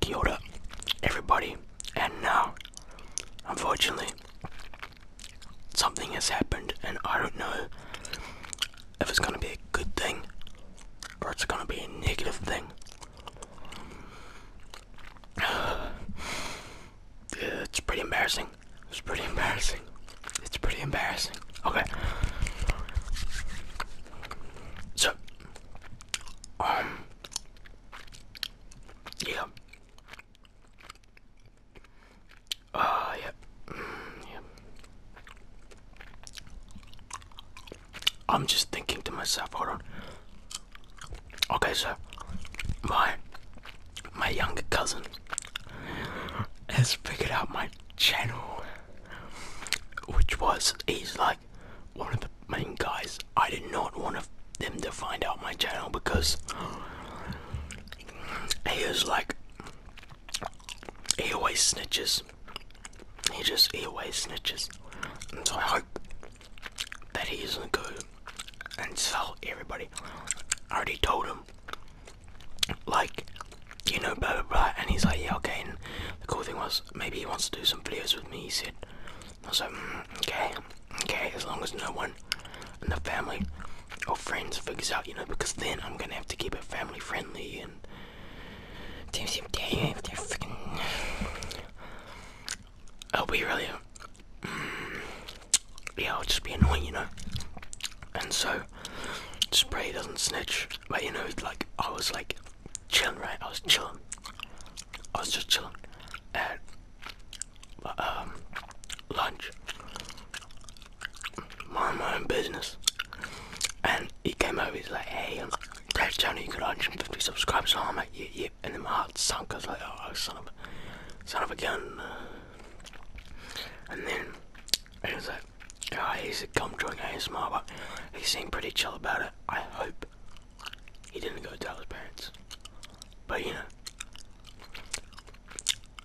Kia everybody, and now, unfortunately, something has happened, and I don't know if it's going to be a good thing or it's going to be a negative thing. It's pretty embarrassing. It's pretty embarrassing. It's pretty embarrassing. Okay. So, um, yeah. Uh, yeah. Mm, yeah. I'm just thinking to myself, hold on. Okay, so my my younger cousin has figured out my channel, which was he's like one of the main guys. I did not want them to find out my channel because he was like he always snitches he just always snitches. And so I hope that he doesn't go and tell everybody. I already told him. Like, you know, blah blah blah and he's like, yeah okay and the cool thing was maybe he wants to do some videos with me, he said. I was like, mm, okay, okay, as long as no one in the family or friends figures out, you know, because then I'm gonna have to keep it family friendly and I'll be oh, really, mm, yeah, I'll just be annoying, you know. And so, just pray doesn't snitch. But you know, like I was like chilling, right? I was chilling. I was just chilling at um, lunch, mind my own business. And he came over, he's like, hey, um, Dad's channel, you got 150 subscribers. So I'm like, yep, yeah, yep. Yeah. And then my heart sunk. I like, oh, son of a, son of a gun. And then he was like, oh, he's a gum he's smart, but he seemed pretty chill about it. I hope he didn't go tell his parents. But you know,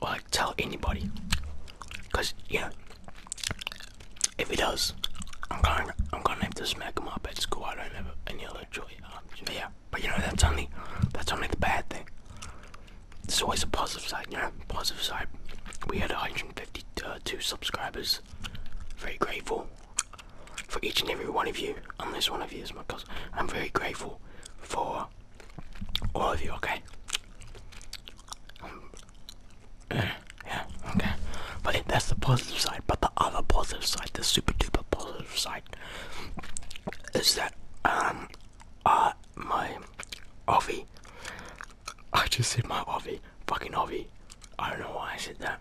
well, tell anybody. Because, you know, if he does, I'm gonna I'm gonna have to smack him up at school. I don't have any other choice. Um, but yeah, but you know that's only that's only the bad thing. There's always a positive side, yeah. know. Positive side. We had 152 subscribers. Very grateful for each and every one of you. Unless one of you is my cousin, I'm very grateful for all of you. Okay. Yeah, yeah, okay. But it, that's the positive side. But the other positive side, the super duper positive side, is that um, uh, my Ovi. I just said my Ovi, fucking Ovi. I don't know why I said that.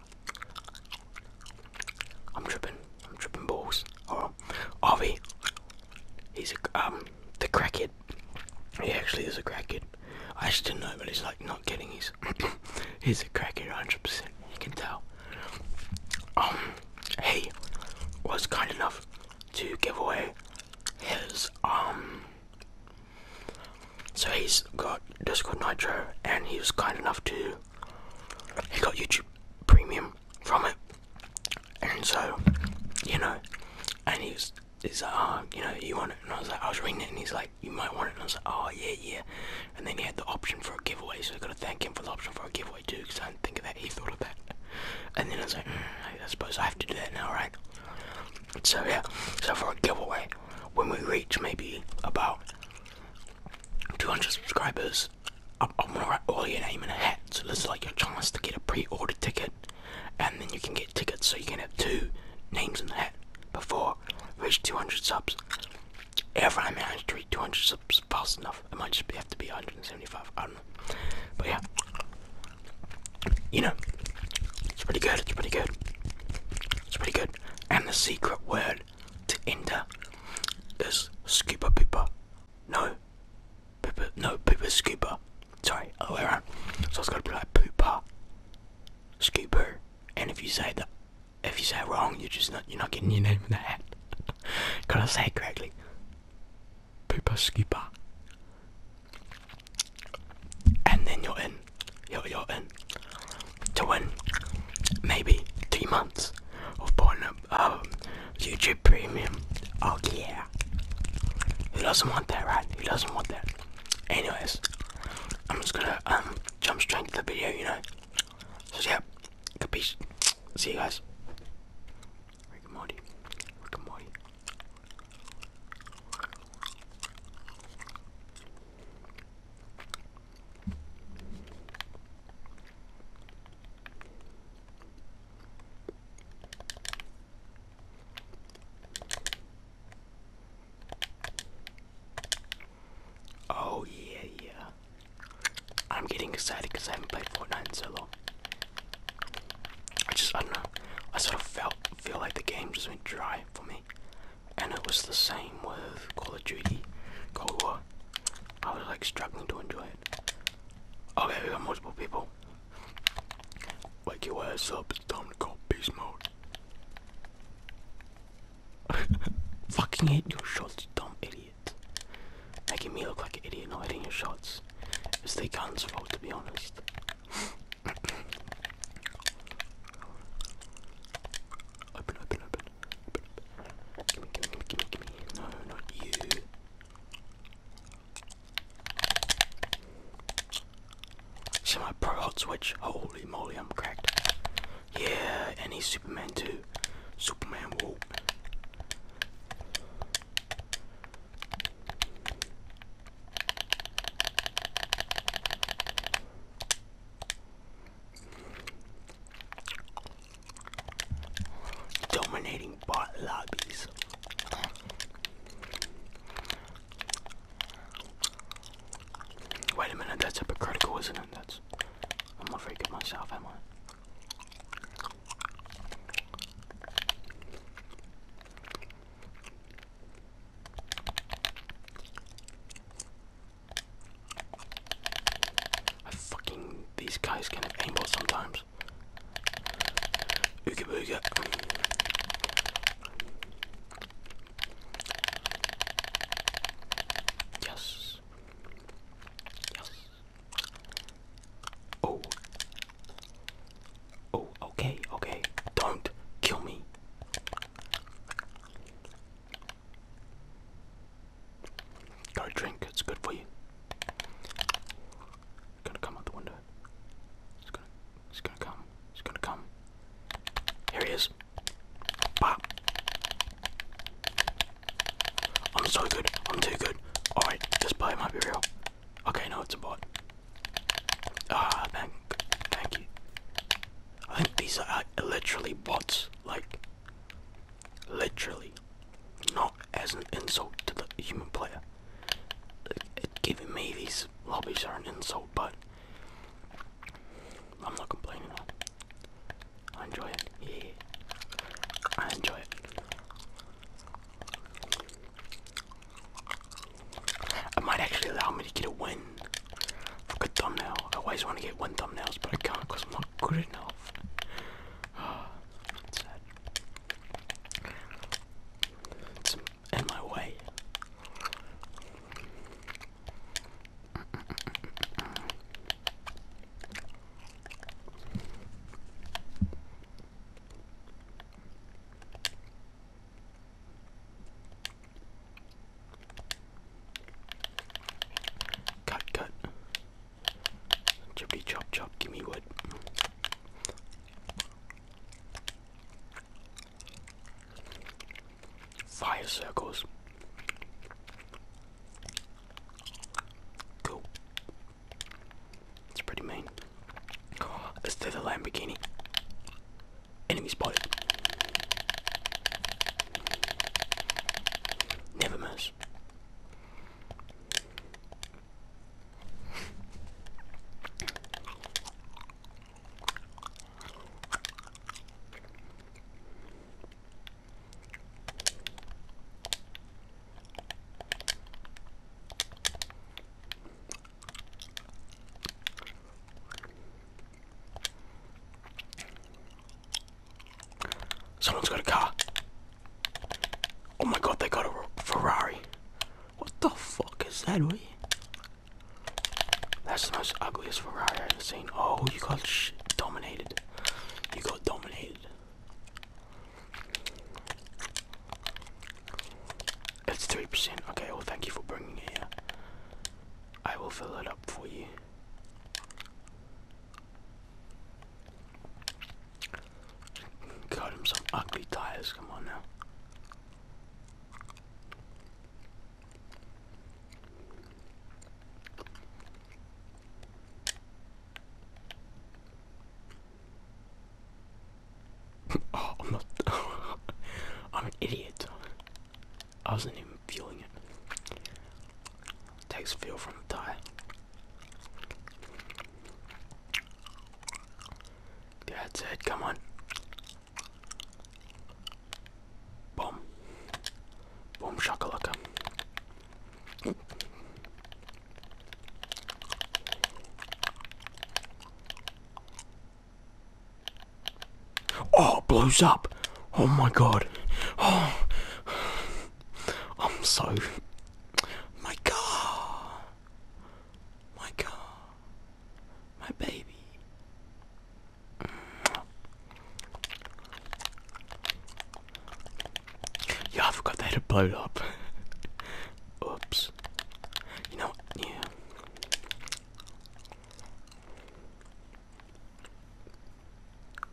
I'm tripping. I'm tripping balls. Oh, Ovi. He's a um the crackhead. He actually is a crackhead. I just didn't know, but he's like not getting his. he's a crackhead, 100%. You can tell. Um, he was kind enough to give away his um. So he's got Discord Nitro, and he was kind enough to. He got YouTube Premium from it, and so you know, and he's He's like, oh, uh, you know, you want it? And I was like, I was reading it, and he's like, you might want it. And I was like, oh, yeah, yeah. And then he had the option for a giveaway, so I got to thank him for the option for a giveaway too, because I didn't think of that. He thought of that. And then I was like, mm, I suppose I have to do that now, right? So, yeah, so for a giveaway, when we reach maybe about 200 subscribers, I'm, I'm gonna write all your name in a hat, so this is like your chance to get a pre order ticket and then you can get tickets so you can have two names in the hat before we reach 200 subs. If I manage to reach 200 subs fast enough, it might just have to be 175, I don't know. But yeah, you know, it's pretty good, it's pretty good. It's pretty good. And the secret word to enter is scuba pooper. No, pooper, no, pooper scuba. Sorry, other way around. So it's gonna be like poopa, scooper, and if you say that, if you say wrong, you're just not you're not getting your name in the hat. Can I say it correctly. Poopa scooper, and then you're in. You're you're in to win maybe three months of Pornhub um, YouTube Premium. Oh yeah. Who doesn't want that, right? Who doesn't want that? Anyways, I'm just gonna um jump straight into the video, you know. So yeah, capiche. See you guys. Rick and Oh yeah, yeah. I'm getting excited because I haven't played Fortnite in so long. I just, I don't know. I sort of felt feel like the game just went dry for me, and it was the same with Call of Duty, Cold War. I was like struggling to enjoy it. Okay, oh, we got multiple people. Wake your ass up, it's time to go peace mode. Fucking hit your shots, you dumb idiot. Making me look like an idiot not hitting your shots. It's the gun's fault, to be honest. open, open, open. Gimme, gimme, gimme, gimme. No, not you. See my pro hot switch? Holy moly, I'm cracked. Yeah, any Superman too. Superman, whoa. Dominating bot lobbies. Wait a minute, that's hypocritical, isn't it? That's I'm not very good myself, am I? I fucking these guys can aimbot sometimes. Ooga booga. Yes. Yes. Oh. Oh, okay, okay. Don't kill me. Got drink, it's good for you. Gotta come out the window. It's gonna, it's gonna come. It's gonna come. Here he is. Pop. I'm so good. I'm too good. Alright, this play might be real. Okay, no, it's a bot. Ah, thank, thank you. I think these are uh, literally bots. Like, literally. Not as an insult to the human player. Giving me these lobbies are an insult, but I'm not complaining. I enjoy it. Yeah, I enjoy it. It might actually allow me to get a win for a good thumbnail. I always want to get win thumbnails, but I can't because I'm not good enough. It's sad. It's in my way. Cut, cut. Chippity chop, chop, give me wood. Fire circles. Cool. It's pretty mean. let's do the Lamborghini. Enemy spotted. Never miss. Someone's got a car. Oh my god, they got a Ferrari. What the fuck is that, we? That's the most ugliest Ferrari I've ever seen. Oh, you got sh dominated. You got dominated. It's 3%. Okay, well, thank you for bringing it here. I will fill it up for you. Got him some ugly tires, come on now. oh, I'm not. I'm an idiot. I wasn't even feeling it. Takes feel from the thigh. That's it, come on. Boom. Boom shaka shakalaka. Oh, blows up. Oh my god. Oh. I'm so. My car. My car my baby. Yeah, I forgot they had a blow up. Oops. You know, yeah.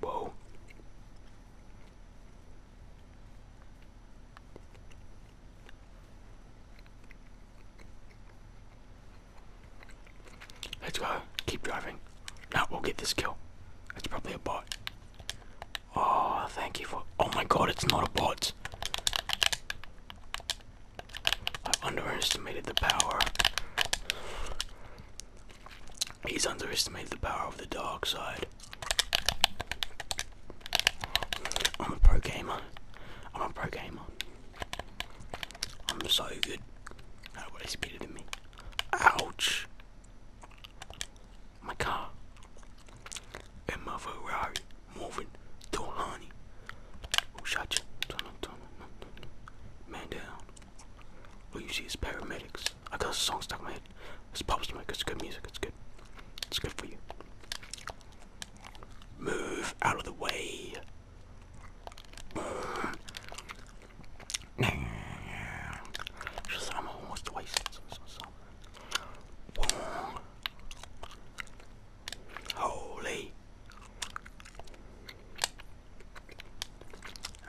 Whoa. Let's go. Keep driving. Now we'll get this kill. It's probably a bot. Oh, thank you for. Oh my god, it's not a bot. I underestimated the power. He's underestimated the power of the dark side. I'm a pro gamer. I'm a pro gamer. I'm so good. Nobody's better than me. Ouch! My car. And my Ferrari. Moving. Dohani. Who shot you? Man down. All you see is paramedics. I got a song stuck in my head. It's pop smoke. It's good music. It's good. It's good for you. Move out of the way. Holy.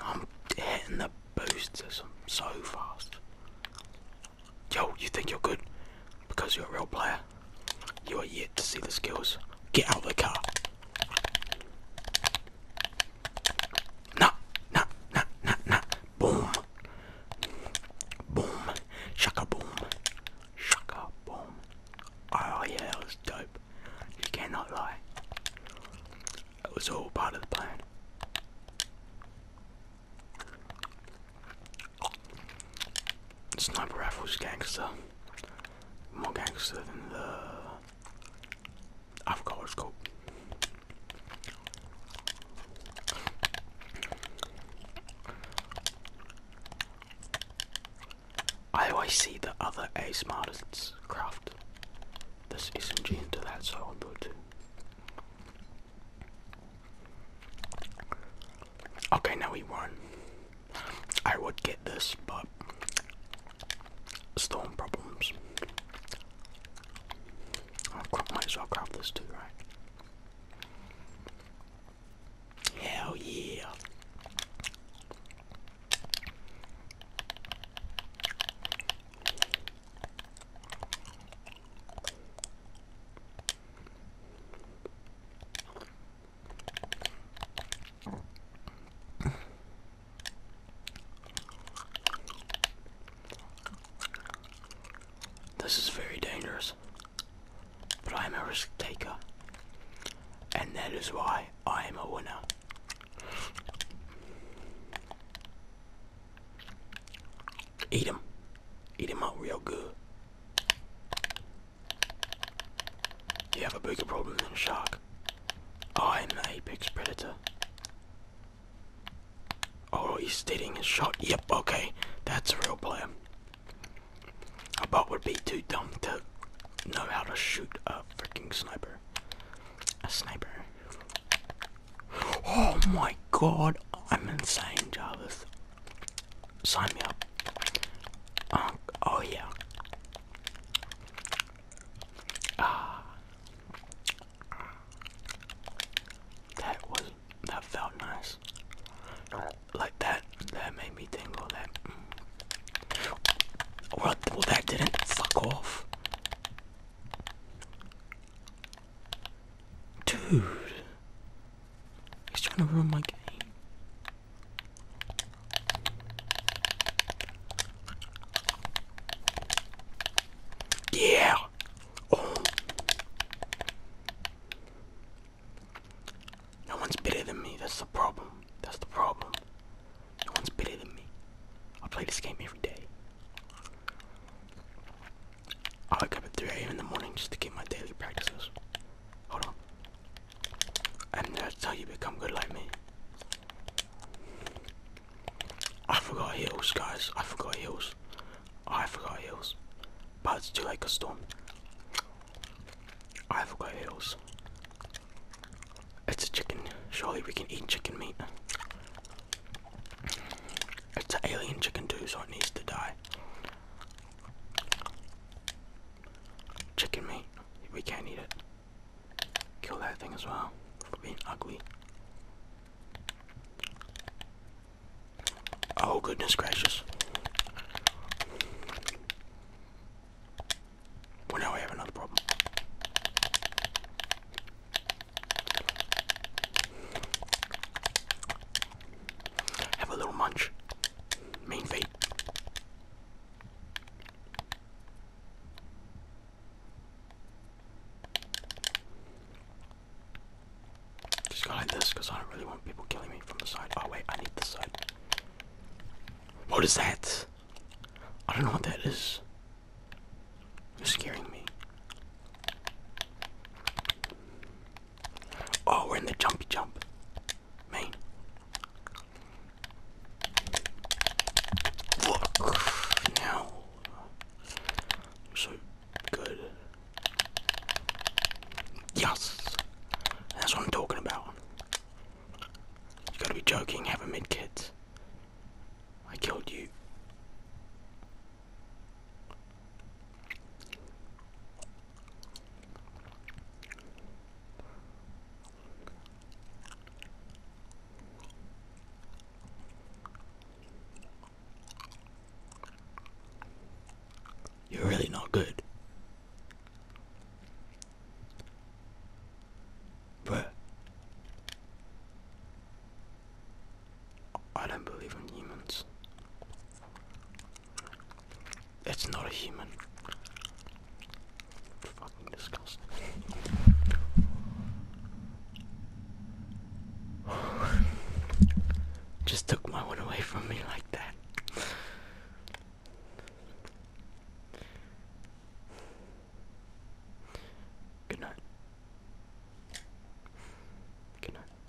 I'm hitting the boost so fast. Yo, you think you're good because you're a real player? You are yet to see the skills. Get out of the car. Nah, nah, nah, nah, nah. Boom. Boom. Shaka boom. Shaka boom. Oh yeah, that was dope. You cannot lie. That was all part of the plan. Sniper rifles gangster. More gangster than the I've I always see the other A smartest craft this is SMG into that so I'll do it too. Okay, now we won. I would get this, but storm problems. I might as well grab this too, right? Hell yeah! This is very dangerous, but I am a risk taker, and that is why I am a winner. Eat him, eat him up real good. You have a bigger problem than a shark. I'm the apex predator. Oh, he's steadying his shot. Yep, okay. That's a real player. A bot would be too dumb to know how to shoot a freaking sniper. A sniper. Oh my god, I'm insane, Jarvis. Sign me up. oh yeah. Ah. That was that felt nice. Like that, that made me tingle. That. Mm. Well, well, that didn't fuck off, dude. He's trying to ruin my game. Yeah. Oh. No one's better than me. That's the problem. That's the problem. No one's better than me. I play this game every day. I wake up at 3 a.m. in the morning just to get my daily practices. Hold on. And that's how you become good like me. I forgot heels, guys. I forgot heels. I forgot heels. But it's too like a storm. I forgot heels. It's a chicken. Surely we can eat chicken meat. It's an alien chicken too, so it needs to die. Chicken meat. We can't eat it. Kill that thing as well for being ugly. Oh, goodness gracious. Well, now we have another problem. Have a little munch. Main fate. Just going like this because I don't really want people killing me from the side. Oh wait, I need this side. What is that? I don't know what that is. You're scaring me. Oh, we're in the jumpy jump. Man. Now. So good. Yes. That's what I'm talking about. You gotta be joking, have mid kit. I killed you. You're really not good. Bruh. I don't believe in humans. It's not a human. Fucking disgusting. Just took my one away from me like that. Good night. Good night.